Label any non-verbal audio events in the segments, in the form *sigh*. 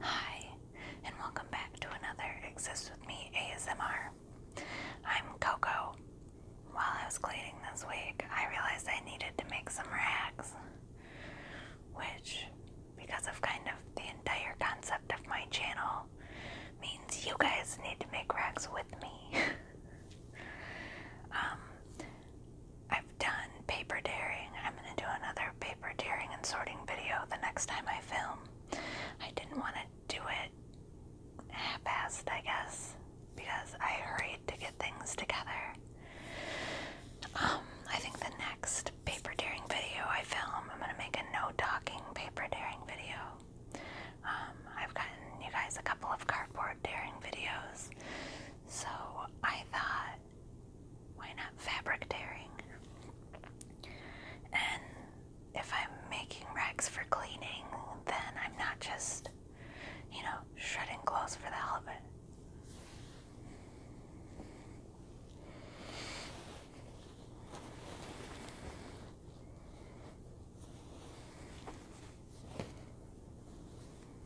Hi, and welcome back to another Exist With Me ASMR. I'm Coco. While I was cleaning this week, I realized I needed to make some rags, which, because of kind of the entire concept of my channel, means you guys need to make rags with me. *laughs* um, I've done paper daring. I'm going to do another paper daring and sorting video the next time I film. I didn't want to do it fast, I guess, because I hurried to get things together. Um, I think the next paper daring video I film, I'm going to make a no-talking paper daring video. Um, I've gotten you guys a couple of cardboard daring videos, so I thought why not fabric tearing? And if I'm making racks for cleaning, then I'm not just, you know, shredding clothes for the hell of it.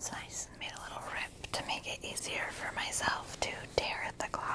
So I just made a little rip to make it easier for myself to tear at the cloth.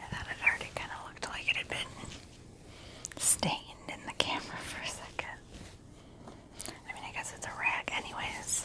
I thought it already kind of looked like it had been stained in the camera for a second. I mean, I guess it's a rag, anyways.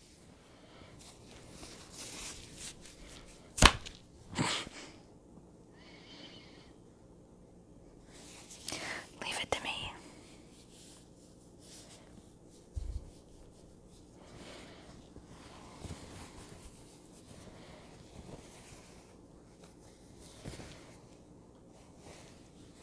Leave it to me.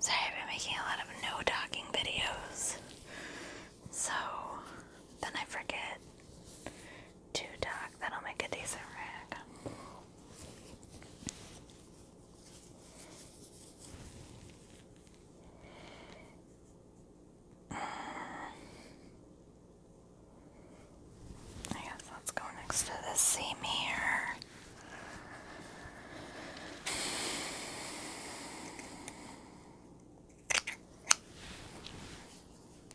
Sorry, I've been making a lot of no talking videos. So then I forget Two dark, that'll make a decent rag. I guess let's go next to the seam here.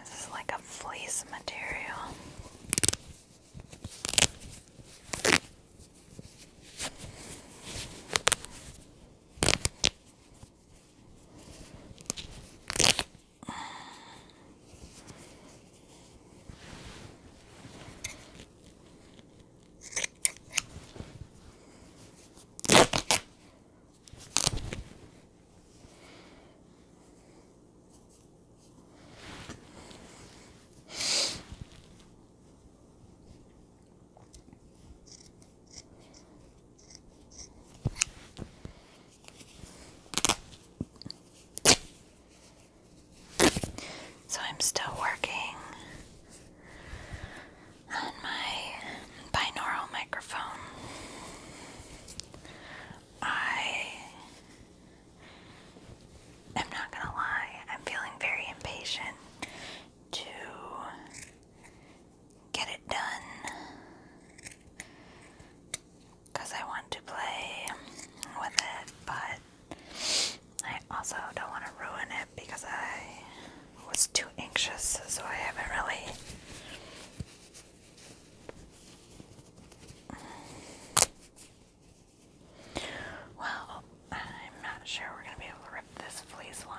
This is like a fleece material. So I'm still working on my binaural microphone. I am not going to lie, I'm feeling very impatient to get it done because I want to play with it, but I also don't want to ruin it because I was too anxious, so I haven't really well, I'm not sure we're going to be able to rip this fleece one.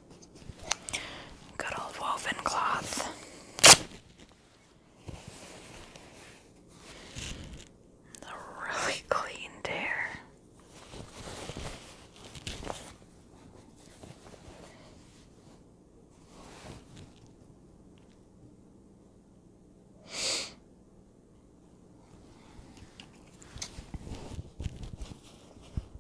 Good old woven cloth. The really clean tear.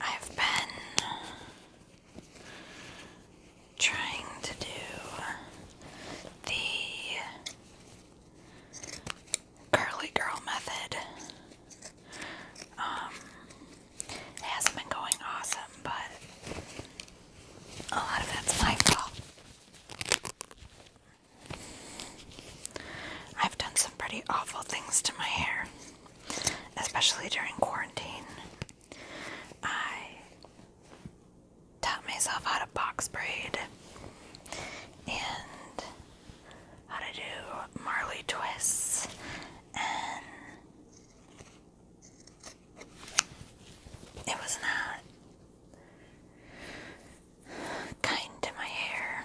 I've been trying to do the curly girl method. Um, hasn't been going awesome, but a lot of that's my fault. I've done some pretty awful things to my hair, especially during quarantine. I taught myself how to box braid and how to do Marley twists and it was not kind to my hair.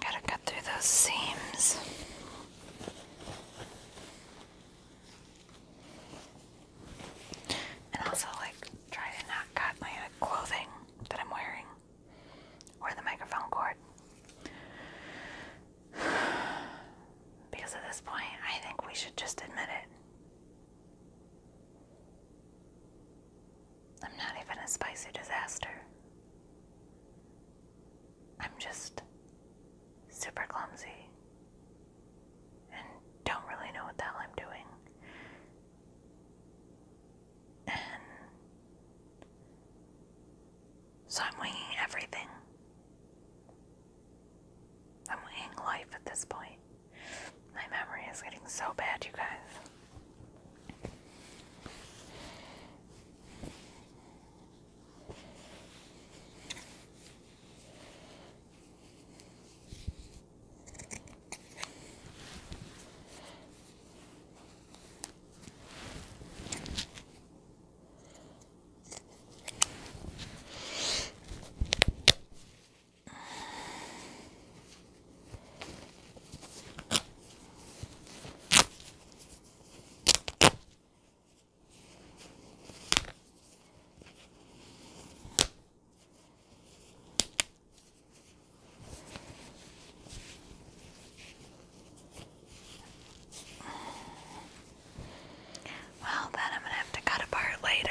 Gotta cut through those seams. And also, like, try to not cut my clothing that I'm wearing or the microphone cord. *sighs* Because at this point, I think we should just admit it. I'm not even a spicy disaster. I'm just super clumsy and don't really know what the hell I'm doing. And so I'm winging everything. I'm winging life at this point. My memory is getting so bad, you guys. Well, then I'm going to have to cut apart later.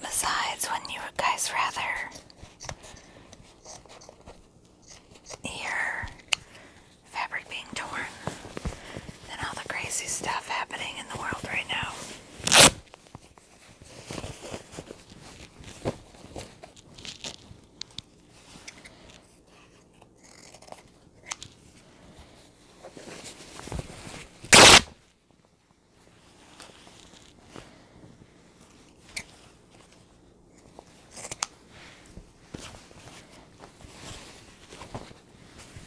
Besides, wouldn't you guys rather hear fabric being torn and all the crazy stuff happening in the world right now.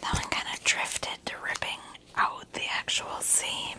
That one kind of drifted to ripping out the actual seam.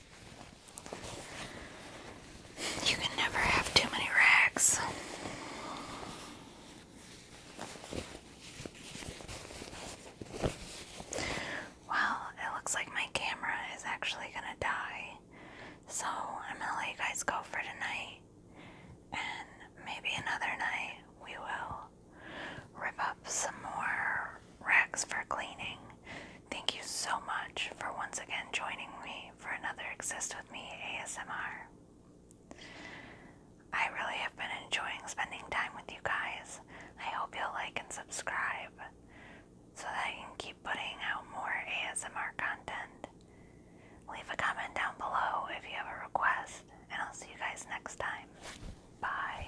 You can never have too many rags. Well, it looks like my camera is actually gonna die. So I'm gonna let you guys go for tonight. And maybe another night we will rip up some more racks for cleaning Thank you so much for once again joining me for another Exist With Me ASMR. I really have been enjoying spending time with you guys. I hope you'll like and subscribe so that I can keep putting out more ASMR content. Leave a comment down below if you have a request, and I'll see you guys next time. Bye.